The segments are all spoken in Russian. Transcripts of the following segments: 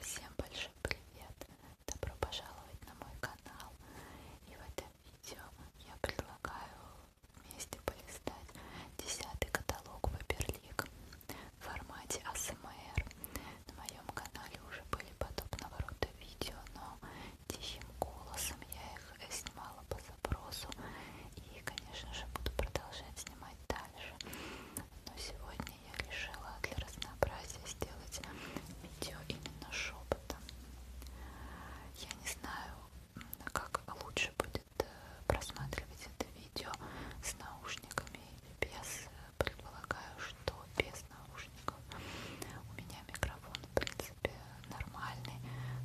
Всем большой привет! Добро пожаловать на мой канал! И в этом видео я предлагаю вместе полистать десятый каталог Ваперлик в формате АСМР. На моем канале уже были подобного рода видео, но тихим голосом я их снимала по запросу. И, конечно же, буду продолжать снимать снимать дальше. Но сегодня я решила для разнообразия сделать видео именно шепотом. Я не знаю, как лучше будет э, просматривать это видео с наушниками или без. Предполагаю, что без наушников. У меня микрофон в принципе нормальный,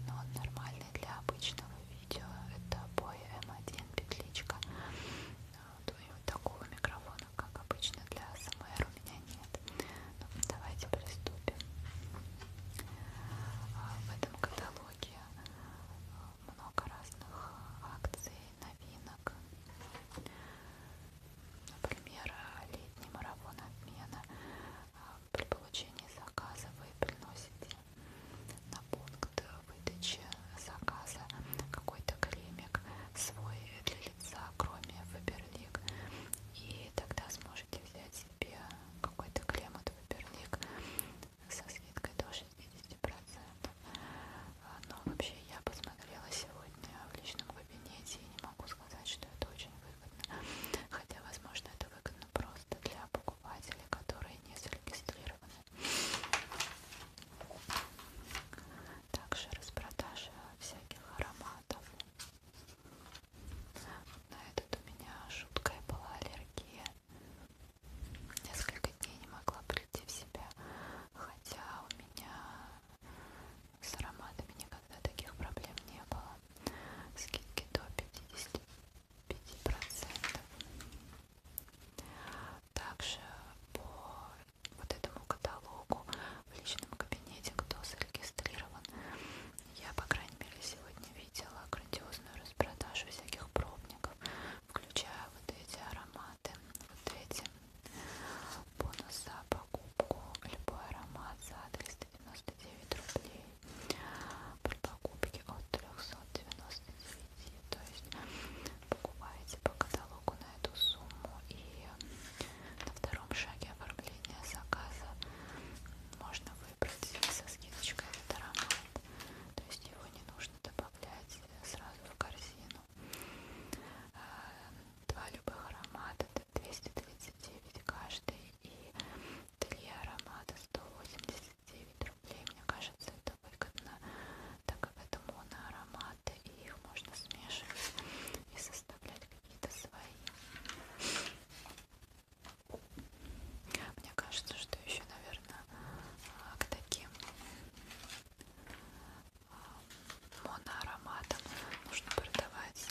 но он нормальный для обычного видео видео. Это обои М1 петличка. Вот, вот такого микрофона, как обычно для СМР, у меня нет. Ну, давайте приступим. А, в этом каталоге а, много разных акций, новинок. Например, летний марафон обмена. А, при получении заказа вы приносите на пункт выдачи заказа какой-то кремик свой для лица, кроме Фаберлик. И тогда сможете взять себе какой-то крем от Фаберлик со скидкой до 60%. А, но вообще я посмотрела сегодня в личном кабинете и не могу сказать, что это очень выгодно. Хотя, возможно, это выгодно просто для покупатели, которые не зарегистрированы. Также распродажа всяких ароматов. На этот у меня жуткая была аллергия. Несколько дней не могла прийти в себя, хотя у меня с ароматами никогда таких проблем не было. Скидки до 50%. 5 процентов также по вот этому каталогу в личном кабинете кто зарегистрирован я по крайней мере сегодня видела грандиозную распродажу всяких пробников включая вот эти ароматы вот эти бонус за покупку любой аромат за 399 рублей при покупке от 399 то есть покупаете по каталогу на эту сумму и на втором шаге оформления заказа можно выбрать со скидочкой этот аромат, то есть его не нужно добавлять сразу в корзину. А, два любых аромата, это 239 каждый и три аромата 189 9 рублей. Мне кажется, это выгодно, так как это моноароматы, и их можно смешивать и составлять какие-то свои. Мне кажется, что еще, наверное, а, к таким а, моноароматам нужно продавать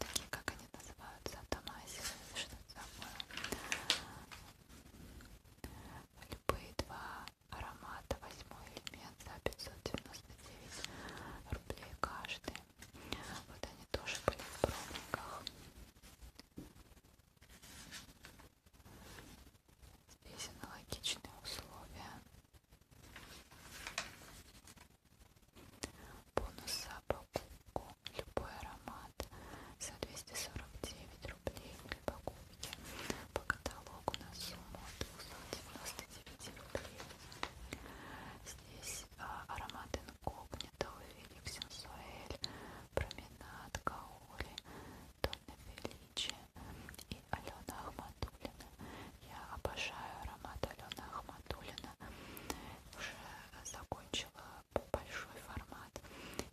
такие, как они называются, автомазии, что такое любые два аромата, восьмой элемент за 599 рублей каждый. Вот они тоже были в пробниках. Здесь аналогичные условия. Бонус за покупку любой аромат за 249 рублей при покупке. По каталогу на сумму 299 рублей. Здесь а, аромат инкогнито, Велик Сенсуэль, Променад, Каоли, Донна Феличи и Алена Ахматуллина. Я обожаю аромат Алены Ахматуллина. Уже закончила большой формат.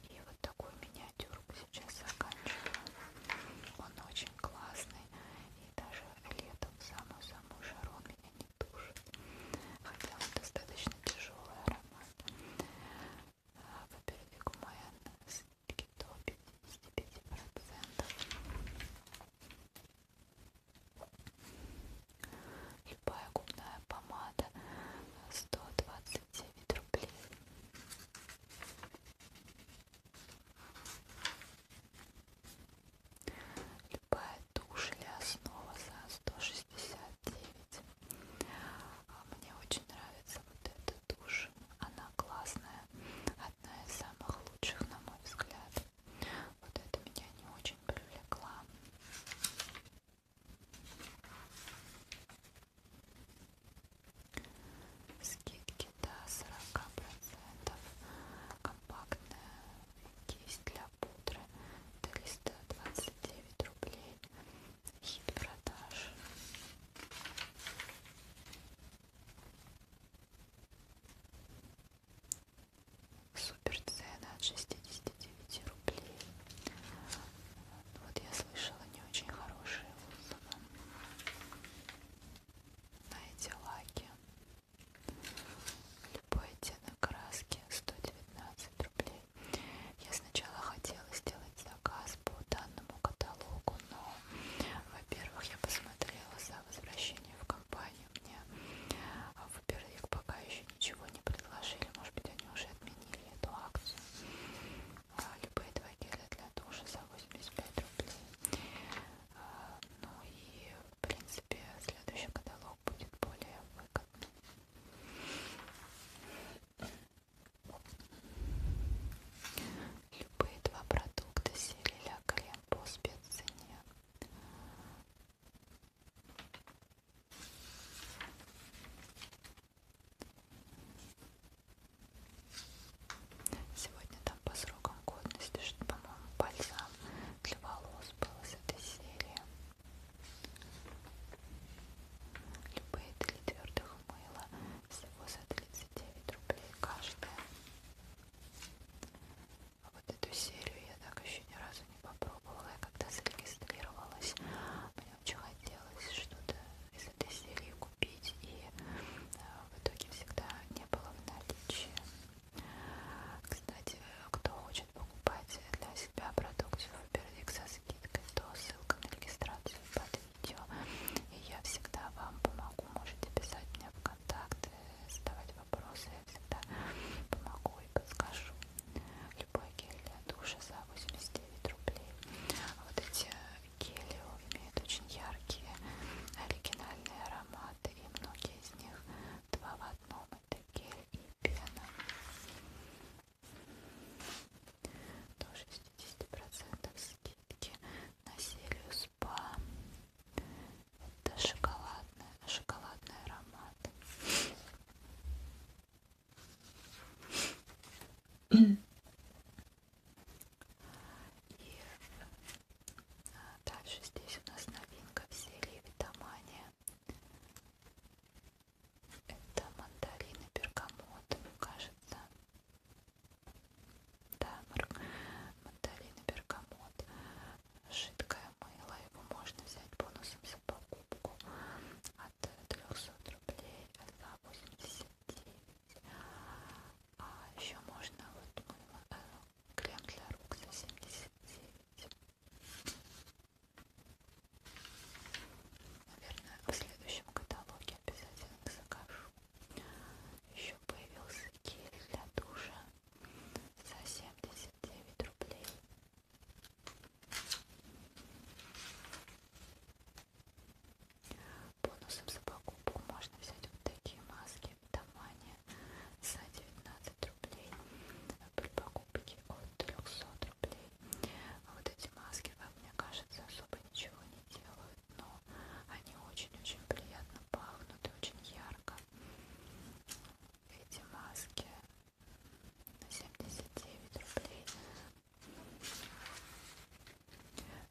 И вот такую миниатюрку сейчас заканчиваю. Он очень классный. И даже летом самую-самую жару меня не тушит. Хотя он достаточно тяжелый аромат. А, во-первых, гумаян скидки до 55%. Любая губная помада 120 а, девять рублей. Любая тушь или основа за 169. Мне очень нравится вот эта тушь. Она классная. Одна из самых лучших, на мой взгляд. Вот это меня не очень привлекла. Скидки до 40%. Компактная кисть для пудры 329 рублей. Хит продаж. Супер цены от 60 209 рублей. Вот я слышала не очень хорошие отзывы на эти лаки. Любой оттенок краски 119 рублей. Я сначала хотела сделать заказ по данному каталогу, но, во-первых, я посмотрела за возвращение в компанию. Мне, во-первых, пока еще ничего не предложили, может быть, они уже отменили эту акцию. А, любые два геля для душа за 85 рублей. А, ну и, в принципе, следующий каталог будет более выгодным. Любые два продукта серии Ля Крем по спеццене. Сегодня там по срокам годности, что, по-моему, бальзам для волос был из этой серии. Любые три твердых мыла всего за 39 рублей каждая. А вот эту серию я так еще ни разу не попробовала. Я когда зарегистрировалась, мне очень хотелось что-то из этой серии купить, и э, в итоге всегда не было в наличии. Кстати, кто хочет покупать для себя продукцию Фаберлик со скидкой, то ссылка на регистрацию под видео. И я всегда вам помогу. Можете писать мне в контакты, задавать вопросы. Я всегда помогу и подскажу. Любой гелевой гель для душа за 89 рублей. Вот эти э, гели имеют очень яркие, оригинальные ароматы, и многие из них два в одном. Это гель и пена. До 60% скидки на серию спа. Это шоколадный, шоколадный аромат. И э, дальше здесь у нас новинка в серии Витамания. Это мандарин и бергамот, кажется. Да, мандарин и бергамот. Жидкое мыло, его можно взять бонусом за покупку. А от 300 рублей за 89 а еще можно вот мой э, крем для рук за 79 наверное в следующем каталоге обязательно закажу еще появился гель для душа за 79 рублей Бонусом за покупку можно взять вот такие маски в Тамане за 19 рублей при покупке от 300 рублей. Вот эти маски, как мне кажется, особо ничего не делают, но они очень-очень приятно пахнут и очень ярко. Эти маски семьдесят девять рублей.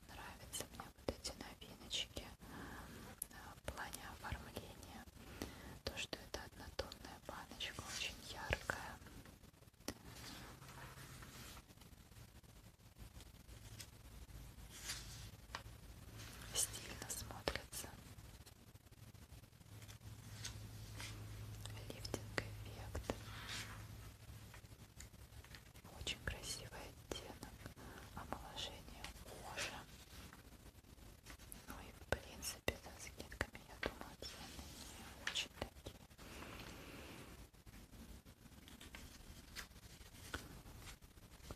Нравятся мне вот эти новиночки а, в плане оформления. То, что это однотонная баночка, очень яркая. Стильно смотрится лифтинг эффект очень красивый оттенок омоложение кожи ну и в принципе за скидками я думаю цены не очень такие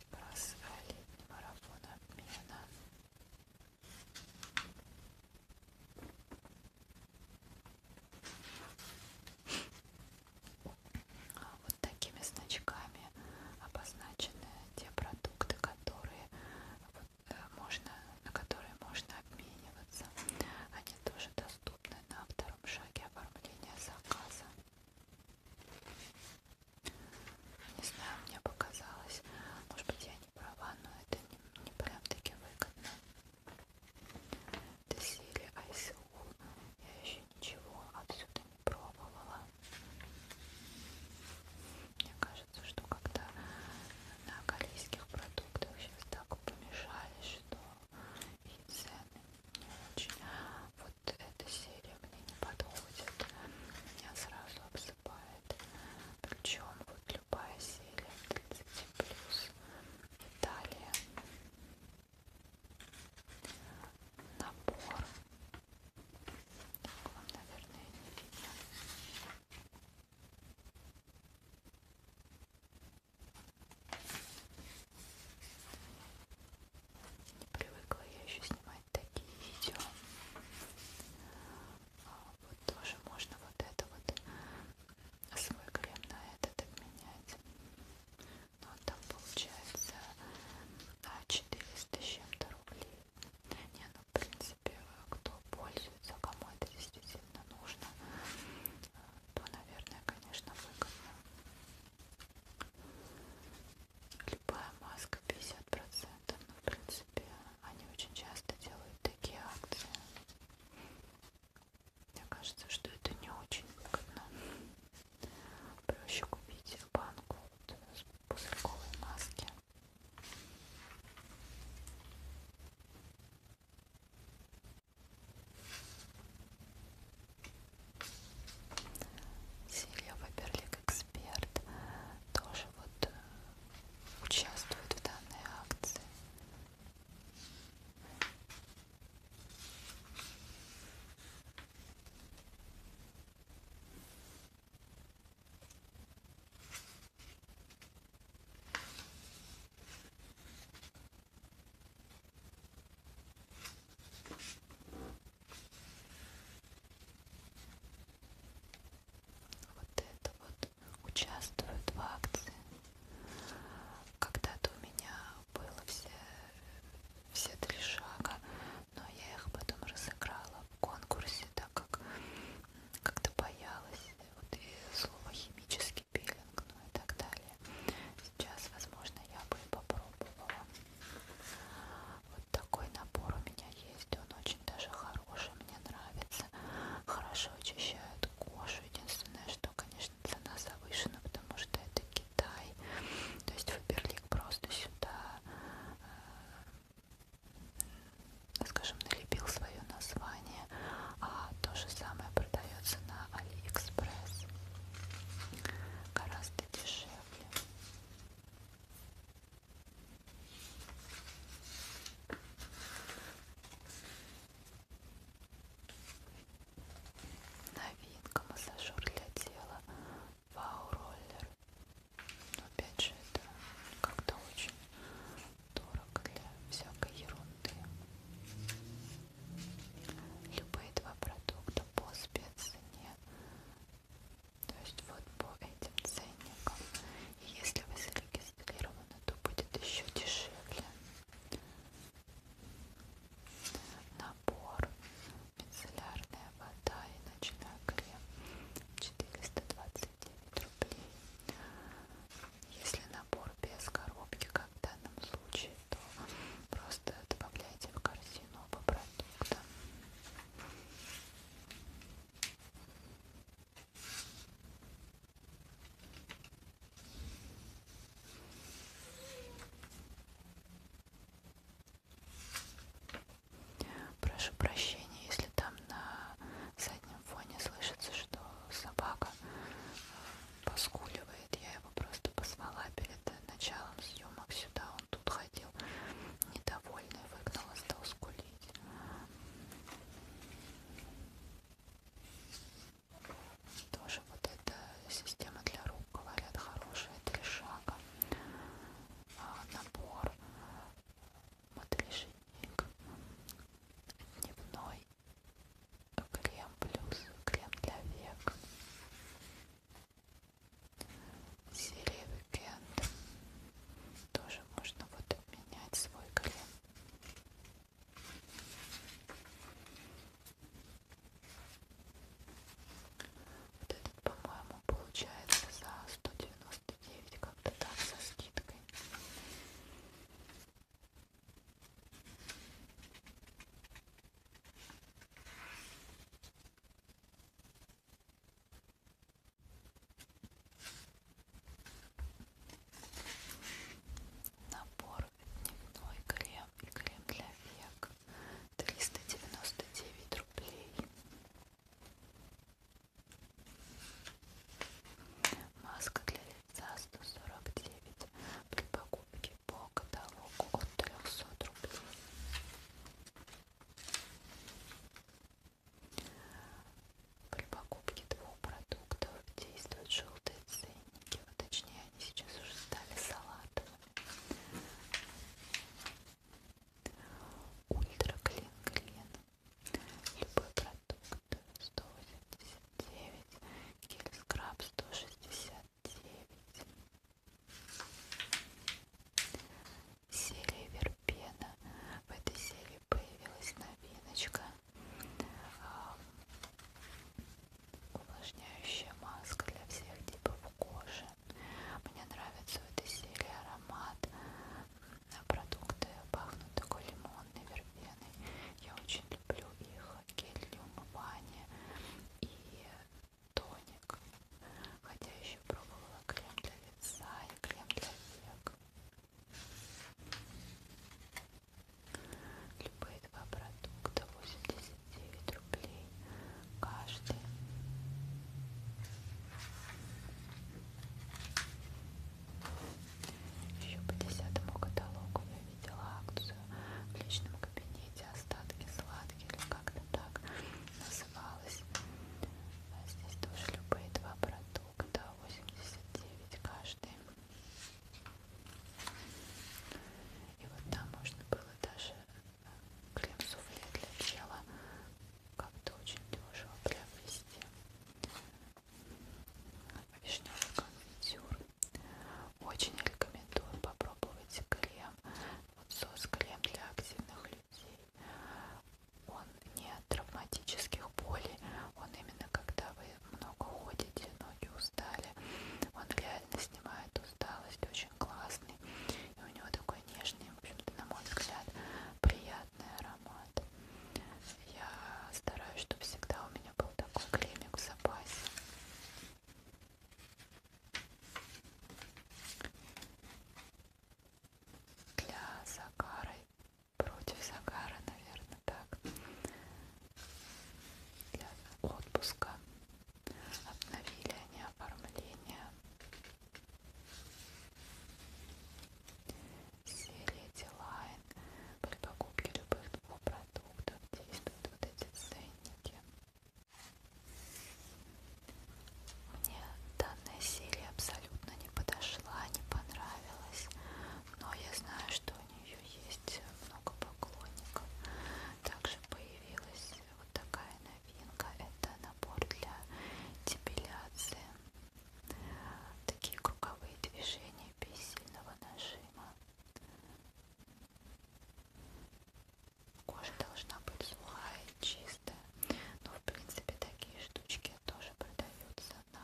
как раз летний марафон обмена вот такими значками обозначены те продукты, которые вот, э, можно, на которые можно обмениваться. Они тоже доступны на втором шаге оформления заказа. Не знаю, мне показалось, может быть, я права, но это не, не прям таки выгодно. Это серия ICU. Я еще ничего отсюда не пробовала. Мне кажется, что когда на корейских продуктах сейчас так помешали, что и цены не очень. Вот эта серия мне не подходит. Меня сразу обсыпает. Причем вот любая серия 30 плюс Италия набор вам наверное не видно не привыкла я еще снимать такие видео а вот тоже можно вот это вот свой крем на этот обменять но ну, а там получается на 400 с чем-то рублей не, ну в принципе кто пользуется, кому это действительно нужно то наверное конечно выгодно любая маска 50% но ну, в принципе принципе, они очень часто делают такие акции. Мне кажется, что это не очень выгодно. Проще купить банку вот с пузырьковой маски. Силья Фаберлик Эксперт тоже вот э, участвуют в данной акции. Вот это вот участвуют в акции. Когда-то у меня было все, все три шага, но я их потом разыграла в конкурсе, так как как-то боялась вот и слово химический пилинг, ну и так далее. Сейчас, возможно, я бы и попробовала. Вот такой набор у меня есть. Он очень даже хороший, мне нравится. Хорошо очищает кожу. Единственное, что, конечно, цена завышена, потому что это Китай. То есть Фаберлик просто сюда, э, скажем, налепил свое название. А то же самое продается на Алиэкспресс. Гораздо дешевле. Новинка массажер для тела Вау роллер. Но ну, опять же это как-то очень дорого для всякой ерунды. Любые два продукта по спеццене. То есть вот по этим ценникам если вы зарегистрированы, то будет еще дешевле. Набор мицеллярная вода и ночной крем 429 рублей. Если набор без коробки, как в данном случае, то просто добавляйте в корзину оба продукта. Прошу прощения, если там на заднем фоне слышится, что собака э, поскуливает. Я его просто позвала перед э, началом съемок сюда. Он тут ходил недовольный, выгнал, стал скулить. Тоже вот эта система для рук, говорят, хорошая, три шага, а, набор, модрешник, дневной крем плюс крем для век, серия Weekend, тоже можно вот менять свой колен. Вот этот, по-моему, получается за 199 как-то так со скидкой. Набор дневной крем и крем для век 399 рублей. Маска для лица 149 при покупке по каталогу от 300 рублей. При покупке двух продуктов действуют желтые ценники. Вот, точнее, они сейчас уже стали салатовыми. Ультра Клин Клин. Любой продукт 189. Кельскраб 169 серии Вербена. В этой серии появилась новиночка увлажняющая маска для всех типов кожи. Мне нравится в этой серии аромат продукты пахнут такой лимонной вербеной. Я очень люблю их гель для умывания и тоник. Хотя еще пробовала крем для лица и крем для век. Любые два продукта 89 рублей каждый. Еще по десятому каталогу я видела акцию в личном кабинете остатки сладких или как-то так называлась. А здесь тоже любые два продукта восемьдесят девять каждый. И вот там можно было даже э, крем-суфле для тела как-то очень дешево приобрести. Вишневый конфитюр. Очень рекомендую попробовать крем. Вот сос крем для активных людей он не от травматических болей, он именно когда вы много ходите, ноги устали, он реально снимает усталость, очень классный. И у него такой нежный, в общем-то, на мой взгляд, приятный аромат. Я стараюсь, чтобы всегда у меня был такой кремик в запасе. Для загара против загара, наверное, так, для отпуска. Обновили они оформление. Серия Дилайн. При покупке любых двух продуктов действуют вот эти ценники. Мне данная серия абсолютно не подошла, не понравилась, но я знаю, что у нее есть много поклонников. Также появилась вот такая новинка, это набор для депиляции. Такие круговые движения без сильного нажима. Кожа должна быть сухая чистая. Но ну, в принципе такие штучки тоже продаются на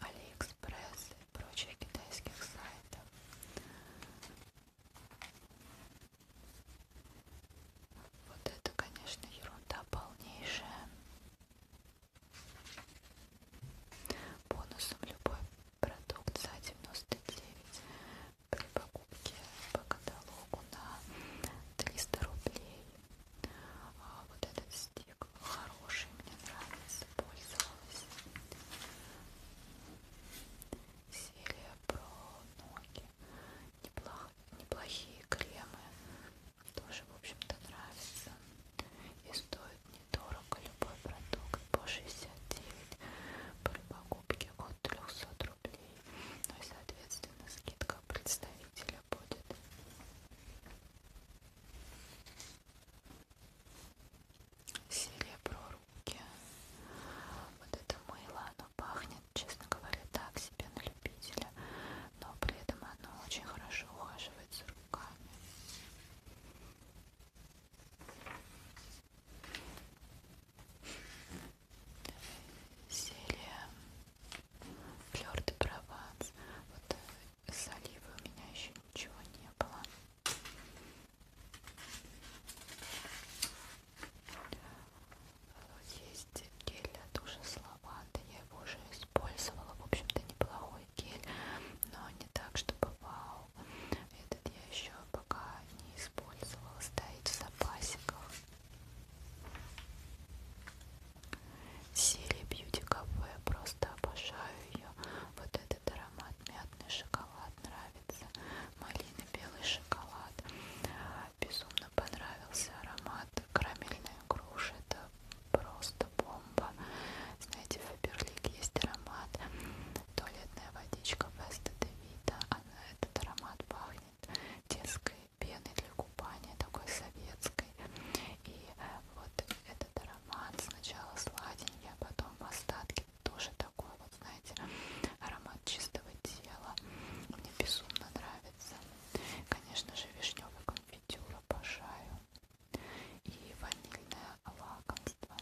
Алиэкспресс и прочих китайских сайтах. Вот это, конечно, ерунда полнейшая. Бонусом любой продукт за 99 при покупке по каталогу на 300 рублей а вот этот стек был хороший, мне нравится, пользовалась. Серия про ноги. Неплох... Неплохие кремы. Тоже, в общем-то, нравится. И стоит недорого любой продукт по 69 при покупке от 300 рублей. Ну и, соответственно, скидка представителей тебя будет. Серебро руки. Вот это мыло, оно пахнет, честно говоря, так себе на любителя, но при этом оно очень хорошо ухаживает за руками серия Флёр де Прованс. Вот э, с Оливой у меня еще ничего не было. Вот есть гель для душа с лавандой. Я его уже использовала. В общем-то, неплохой гель, но не так, чтобы вау. Этот я еще пока не использовала. Стоит в запасиках. Сири Бьюти Кафе, просто обожаю ее. Вот этот аромат мятный шоколад нравится, малины, белый шоколад. Безумно понравился аромат карамельной груши, это просто бомба. Знаете, в Фаберлик есть аромат туалетная водичка Веста Девита, она этот аромат пахнет детской пены для купания, такой советской. И э, вот этот аромат сначала сладенький, а потом в остатке тоже такой, вот знаете, аромат чистого тела. Мне безумно нравится. Конечно же, вишневый конфитюр обожаю. И ванильное лакомство.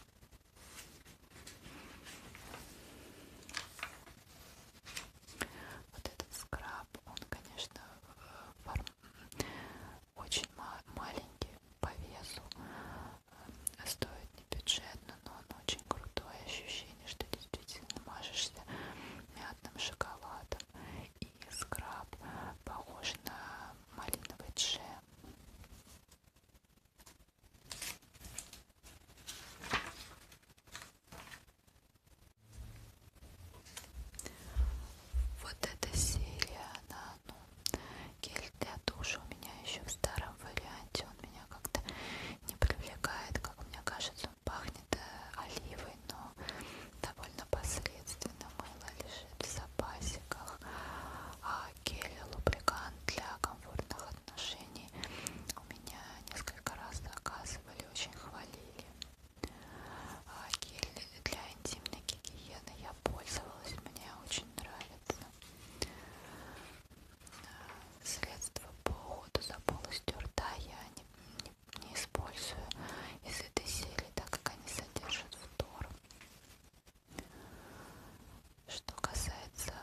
Вот этот скраб, он, конечно, э, форм... очень ма маленький по весу, э, стоит не бюджетно, но он очень крутой, ощущение, что действительно мажешься мятным шоколадом. И скраб похож на малиновый джем. Вот эта серия, она, ну, гель для душа у меня еще в старом варианте, он меня как-то не привлекает, как мне кажется, он пахнет э, оливой, но довольно посредственно мыло лежит в запасиках, а гель лубрикант для комфортных отношений у меня несколько раз заказывали гель очень хвалили. А, гель для интимной гигиены я пользовалась, мне очень нравится. А, средства по уходу за полостью рта я не, не, не использую из этой серии, так как они содержат фтор. Что касается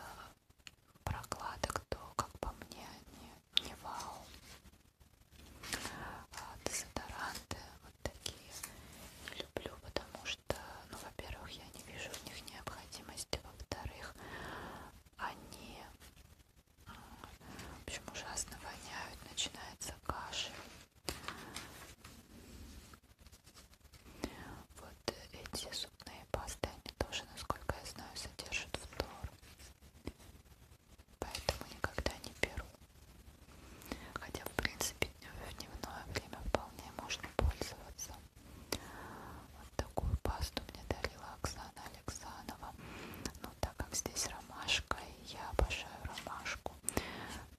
прокладок, то, как по мне, не, не вау. А дезодоранты вот такие не люблю, потому что, ну, во-первых, я не вижу в них необходимости, во-вторых, они, в общем, ужасно воняют, начинается кашель. Вот эти зубные пасты, они тоже, насколько я знаю, содержат фтор. Поэтому никогда не беру. Хотя, в принципе, в дневное время вполне можно пользоваться. Вот такую пасту мне дарила Оксана Александрова. Но так как здесь ромашка, и я обожаю ромашку,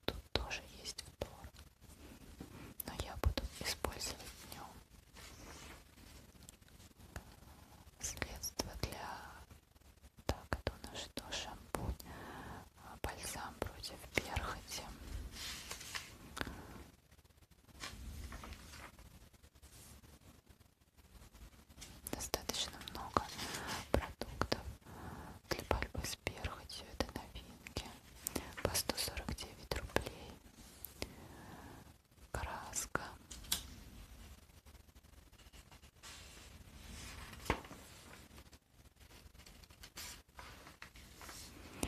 тут тоже есть втор. Но я буду использовать днем средство для так это у ну нас что шампунь а, бальзам против перхоти достаточно много продуктов для борьбы с перхотью это новинки по 149 рублей краска.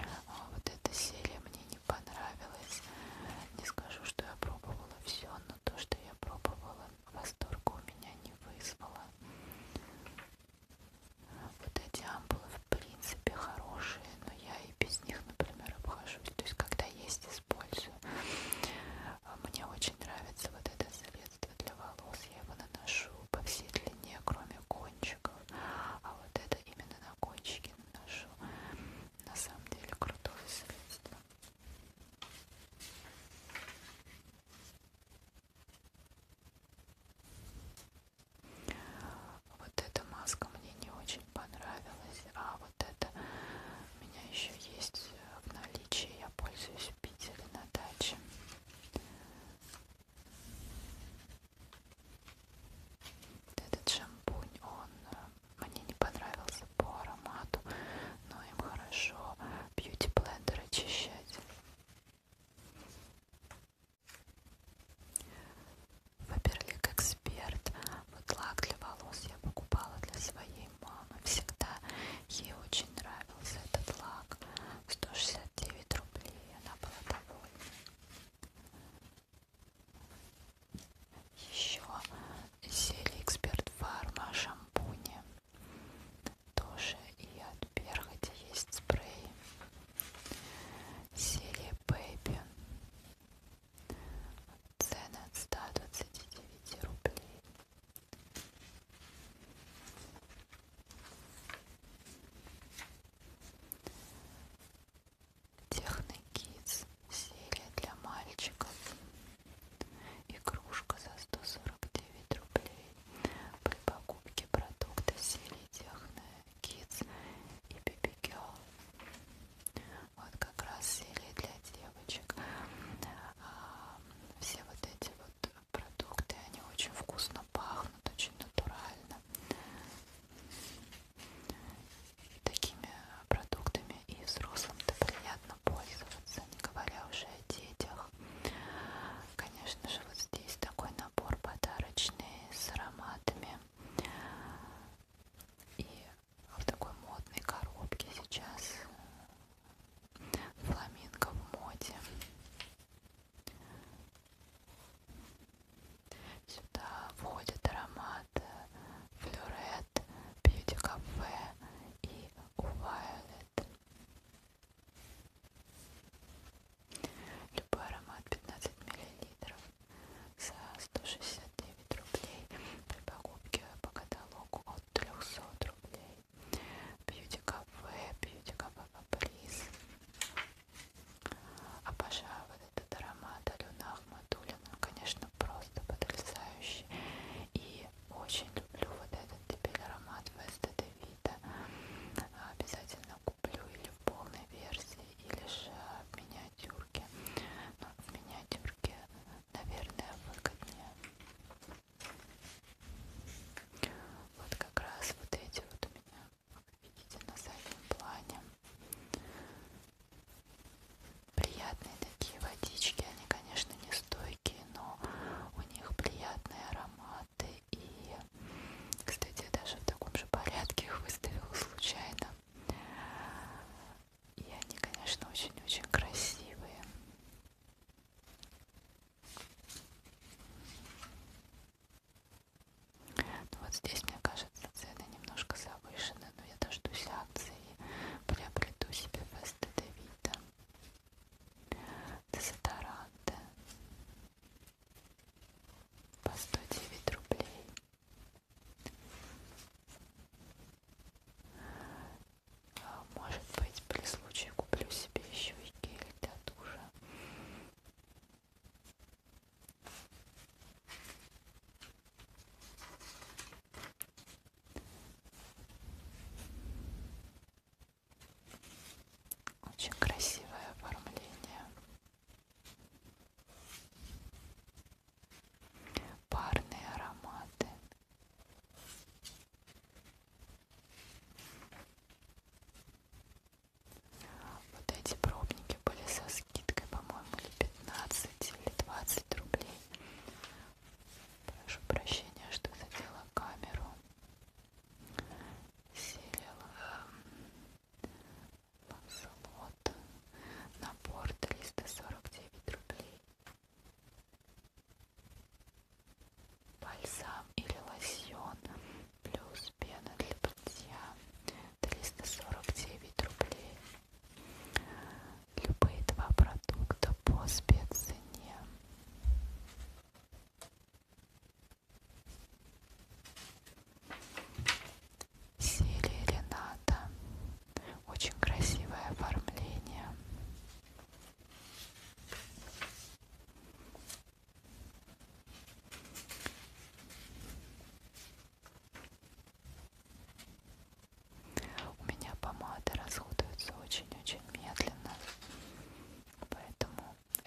А вот эта серия мне не понравилась. Не скажу, что я пробовала все, но то, что я пробовала, восторга у меня не вызвало. Вот эти ампулы в принципе хорошие, но я и без них, например, обхожусь. То есть, когда есть использую. Мне очень нравится вот это средство для волос. Я его наношу по всей длине, кроме кончиков. А вот это именно на кончики наношу. На самом деле крутое средство. Вот эта маска мне не очень понравилась, а вот это. У меня еще есть э, в наличии, я пользуюсь в Питере на даче. Этот шампунь, он э, мне не понравился по аромату, но им хорошо бьюти-блендер очищать. Фаберлик Эксперт. Вот лак для волос я покупала для своей мамы. Всегда ей очень нравился этот лак. 169 рублей. Она была довольна. Еще серия Эксперт Фарма шампуни. Тоже и от перхоти есть спрей. Серия Baby. Цены от 129 рублей. Техникиз. Серия для мальчиков. Игрушка за 149 рублей. При покупке продукта серии Техно Kids и BBQ вот как раз серия для девочек. А, все вот эти вот продукты, они очень вкусно пахнут, очень натурально. Такими продуктами и взрослым-то приятно пользоваться, не говоря уже о детях. Конечно же, вот здесь такой набор подарочный с ароматами. И в такой модной коробке сейчас фламинго в моде сюда входит аромат э, флюрет бьюти кафе и Violet любой аромат 15 миллилитров за 169 рублей при покупке по каталогу от 300 рублей. Бьюти-кафе, бьюти-кафе каприз. Обожаю вот этот аромат Алена Ахматуллина. Конечно, просто потрясающий. И очень люблю вот этот теперь аромат Веста Девита. Обязательно куплю или в полной версии, или же меня миниатюрке. Но ну, в миниатюрке, наверное, выгоднее. Вот как раз вот эти вот у меня, как видите, на заднем плане. Приятные такие водички, они, конечно, не стойкие, но у них приятные ароматы. И, кстати, я даже в таком же порядке их выставила случайно. И они, конечно, очень-очень красивые. Ну вот здесь, мне кажется, цены немножко завышены, но я дождусь акции и приобрету себе Феста Девита, дезодоранты по 109 рублей. Может быть, при случае куплю себе еще и гель для душа. Очень красивое оформление парные ароматы. Вот эти пробники были со скидкой, по-моему, или 15, или 20 рублей. Прошу прощения, что задела камеру. Селила. Ланселот. Набор 349 рублей. Бальзам или лосьон плюс пена для бритья 349 рублей. Любые два продукта по спеццене серии Рената. Очень красивое оформление. У меня помады расходуются очень-очень медленно, поэтому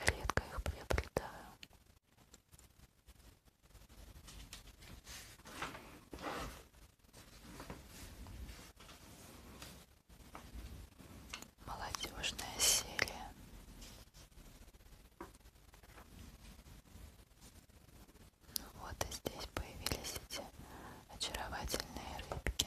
редко их приобретаю. Молодежная серия. Ну вот и здесь появились эти очаровательные рыбки.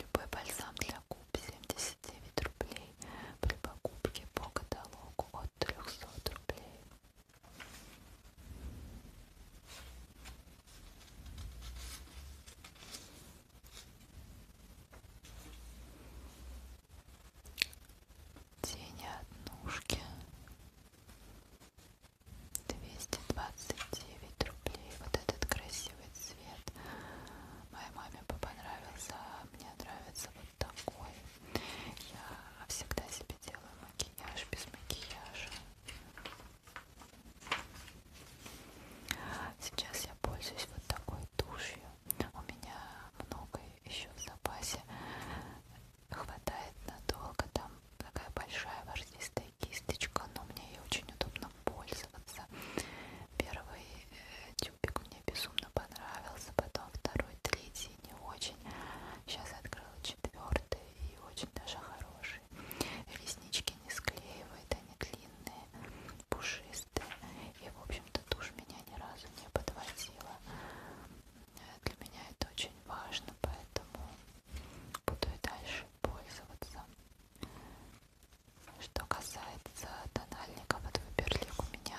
Любой бальзам для губ 79 рублей при покупке по каталогу от 300 рублей тени однушки двести двадцать девять рублей вот этот красивый цвет моей маме понравился а мне нравится вот такой я всегда себе делаю макияж без макияжа сейчас я пользуюсь вот такой тушью у меня много еще в запасе хватает надолго. Там такая большая ворсистая кисточка, но мне ей очень удобно пользоваться. Первый э, тюбик мне безумно понравился, потом второй, третий не очень. Сейчас открыла четвертый и очень даже хороший. Реснички не склеивает, они длинные длинные, пушистые. И, в общем-то, тушь меня ни разу не подводила. Для меня это очень важно, поэтому буду и дальше пользоваться. Что касается тональников, вот Выберлик у меня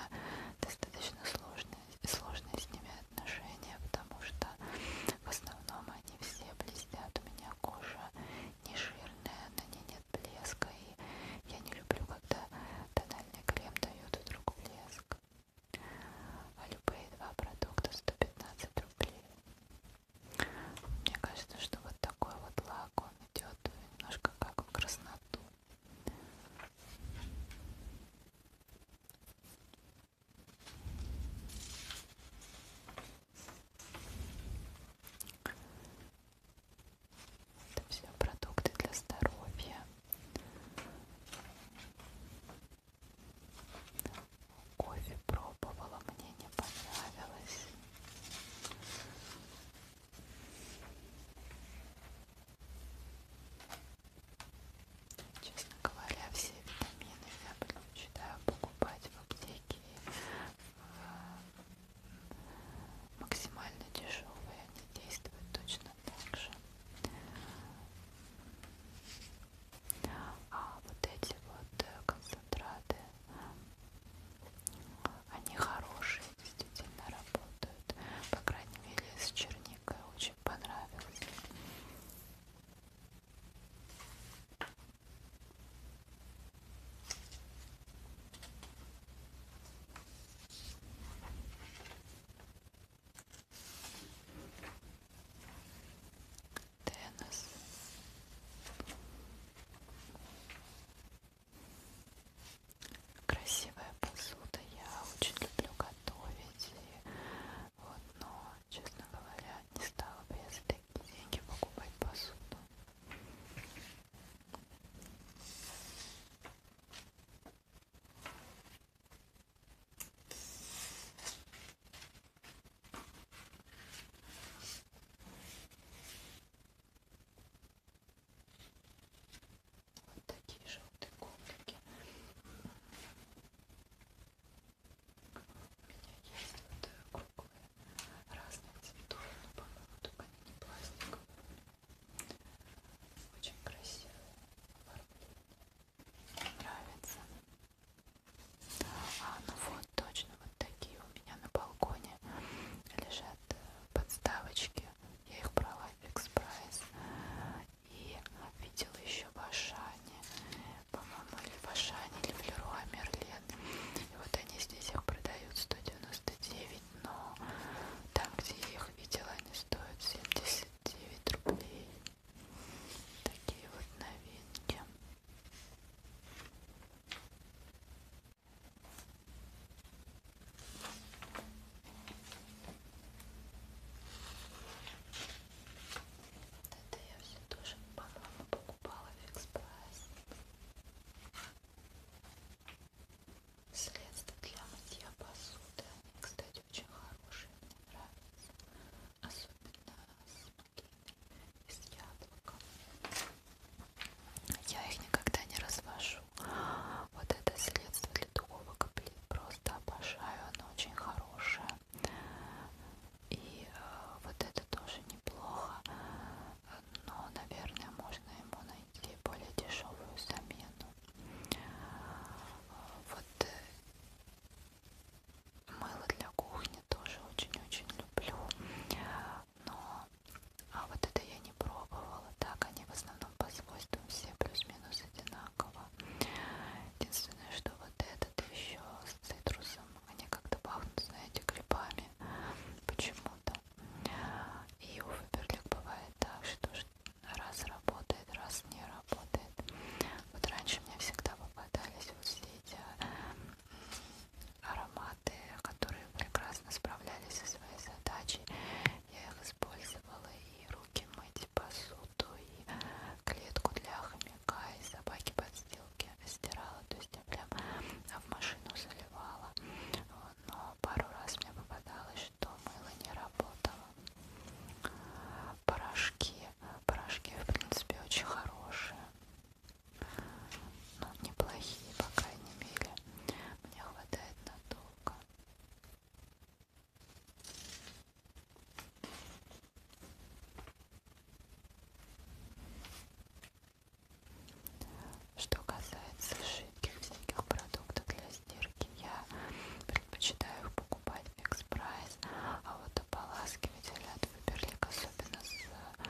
достаточно сложные, сложные с ними отношения, потому что в основном они все блестят. У меня кожа не жирная, на ней не нет блеска, и я не люблю, когда тональный крем дает вдруг блеск. А любые два продукта 115 рублей. Мне кажется, что вот такой вот лак, он идет немножко как в красноту. Это все продукты для здоровья. Кофе пробовала, мне не понравилось. Честно говоря, все витамины я предпочитаю покупать в аптеке э, максимально дешевые, они действуют точно так же. А вот эти вот э, концентраты, они хорошие, действительно работают. По крайней мере, с черникой очень понравился. Денис. Красивая посуда. Я очень люблю готовить. И вот, но, честно говоря, не стала бы я за такие деньги покупать посуду. Вот такие желтые коврики. У меня есть вот э, круглые разных цветов, но, по-моему, только они не пластиковые. Очень красивое оформление. Нравится. А, ну вот, точно, вот такие у меня на балконе лежат э, подставочки. Я их брала в экспресс. И видела еще в Ашане, по-моему, или в Ашане, или в Леруа Мерлен. И вот они здесь их продают 199 купить, но там, где я их видела, они стоят 79 рублей. Такие вот новинки. Это я все тоже, по-моему, покупала в Экспресс. Средство для мытья посуды. Они, кстати, очень хорошие, мне нравятся. Особенно с макиной и с яблоком. Я их никогда не развожу. Вот это средство для духовок блин, просто обожаю. Оно очень хорошее. И э, вот это тоже неплохо но, наверное, можно ему найти более дешевую замену. Вот э, мыло для кухни тоже очень-очень люблю, но а вот это я не пробовала, так они в основном по свойствам все плюс-минус одинаково. Единственное, что вот этот еще с цитрусом, они как-то пахнут, знаете, грибами почему-то. И у Фаберлик бывает так, что раз работает, раз не работает. Вот раньше мне всегда попадались вот все эти ароматы, которые прекрасно справлялись со своей задачей. Я их использовала и руки мыть, и посуду, и клетку для хомяка, и собаки подстилки стирала делала, то есть я прям в машину заливала, но пару раз мне попадалось, что мыло не работало. Порошки, порошки в принципе очень хорошие, но неплохие, по крайней мере, мне хватает надолго. Что касается жидких всяких продуктов для стирки, я предпочитаю их покупать в Экспрайс, а вот ополаскиватель от Фаберлик, особенно с э,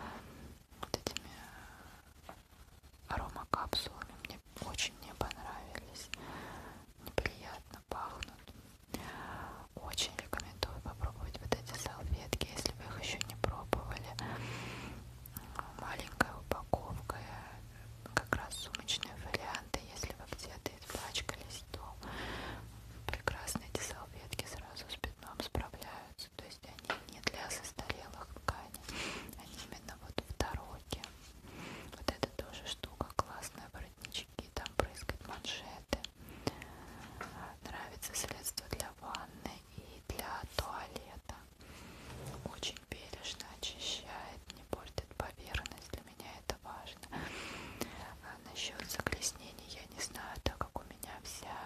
вот этими э, аромакапсулами, мне очень не понравились, неприятно пахнут. Очень рекомендую попробовать вот эти салфетки, если вы их еще не пробовали маленькая упаковка э, как раз сумочные варианты если вы где-то испачкались то прекрасно эти салфетки сразу с пятном справляются то есть они не для застарелых тканей они именно вот в дороге вот это тоже штука классная воротнички там прыскать манжеты нравится средство для ванны и для туалета. Очень бережно очищает, не портит поверхность. Для меня это важно. А насчет загрязнений я не знаю, так как у меня вся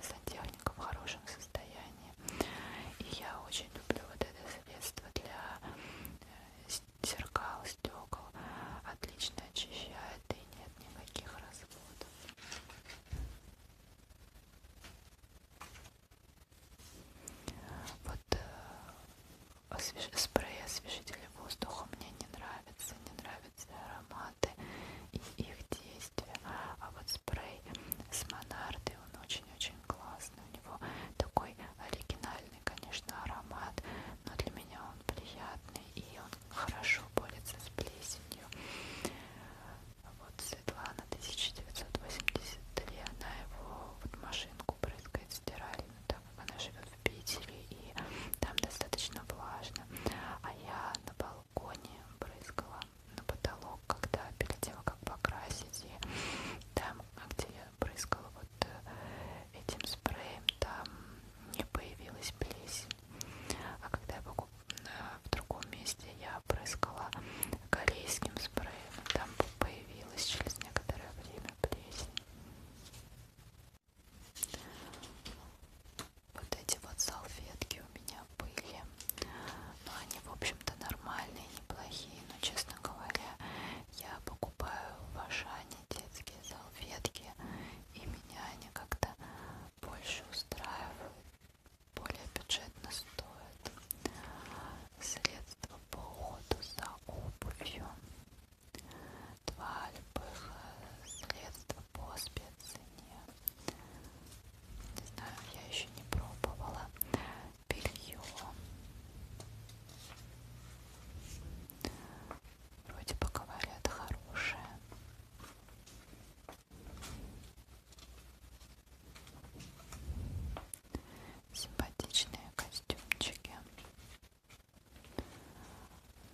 сантехника в хорошем состоянии. И я очень люблю вот это средство для э, зеркал, стекол. Отлично очищает и нет никаких разводов. Вот э, спрей освежителя воздуха мне не нравится, не нравятся ароматы и их действия. А вот спрей с монарды, он очень-очень классный. У него такой оригинальный, конечно, аромат, но для меня он приятный и он хорошо борется с плесенью. Вот Светлана 1983, она его вот машинку брызгает стиральную, так как она живет в Питере и там достаточно влажно. А я на балконе брызгала на потолок, когда перед тем, как покрасить, и там, где я брызгала вот э, этим спреем, там не появилась плесень. А когда я покупала в другом месте я опрыскала корейским спреем. Там появилась через некоторое время плесень. Вот эти вот салфетки у меня были. Но ну, они, в общем-то, нормальные, неплохие. Но, честно говоря, я покупаю в Ашане детские салфетки. И меня они как-то больше устраивают, более бюджетно стоят средства по уходу за обувью, два любых средства по спеццене. Не знаю, я еще не пробовала белье. Вроде бы говорят хорошее. Симпатичные костюмчики.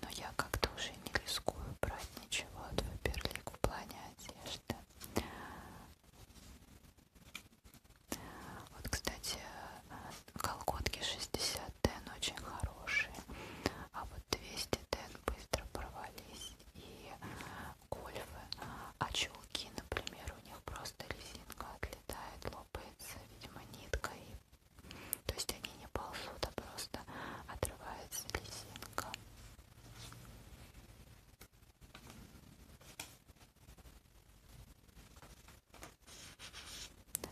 Но я как-то уже не рискую брать ничего от Фаберлик в плане одежды. Вот, кстати, колготки 60 тен очень хорошие, а вот 200 тен быстро провались и э, гольфы, а чулки, например, у них просто резинка отлетает, лопается, видимо, нитка, и... то есть они не ползут, а просто отрывается резинка.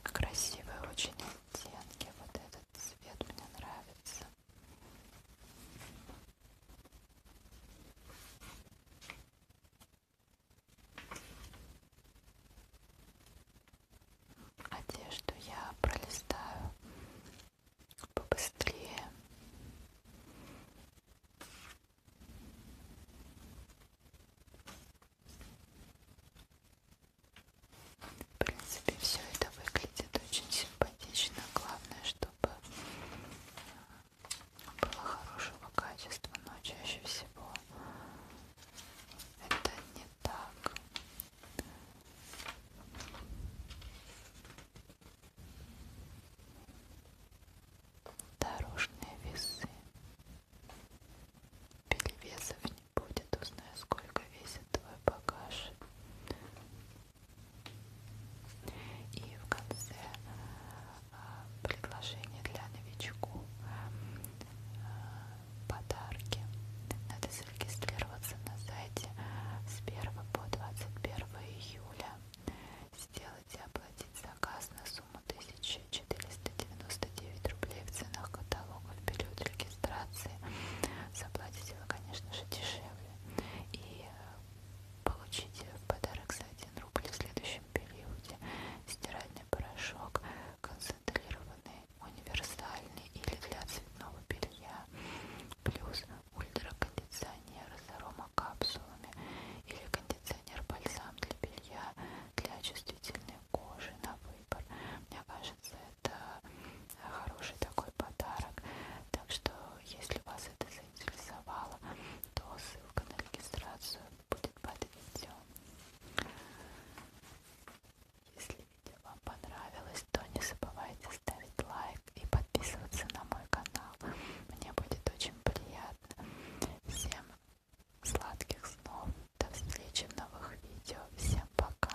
Красивые очень оттенки, вот этот цвет мне нравится. Одежду я пролистаю побыстрее. В принципе, все это выглядит очень симпатично. Главное, чтобы э, было хорошего качества, но чаще всего это не так. Дорожные весы. Перевесов не будет, узнаю, сколько весит твой багаж. И в конце а, предложение для новичку а, подарки. Надо зарегистрироваться на сайте с 1 по 21 июля. Сделать и оплатить заказ на сумму 1499 рублей в ценах каталога в период регистрации. Заплатите вы, конечно же, дешевле и э, получите в подарок за 1 рубль в следующем периоде стиральный порошок концентрированный, универсальный или для цветного белья плюс ультракондиционер с аромакапсулами или кондиционер-бальзам для белья для чувствительной кожи на выбор мне кажется это хороший такой подарок. Так что, если вас это заинтересовало, то ссылка на регистрацию будет под видео. Если видео вам понравилось, то не забывайте ставить лайк и подписываться на мой канал. Мне будет очень приятно. Всем сладких снов. До встречи в новых видео. Всем пока.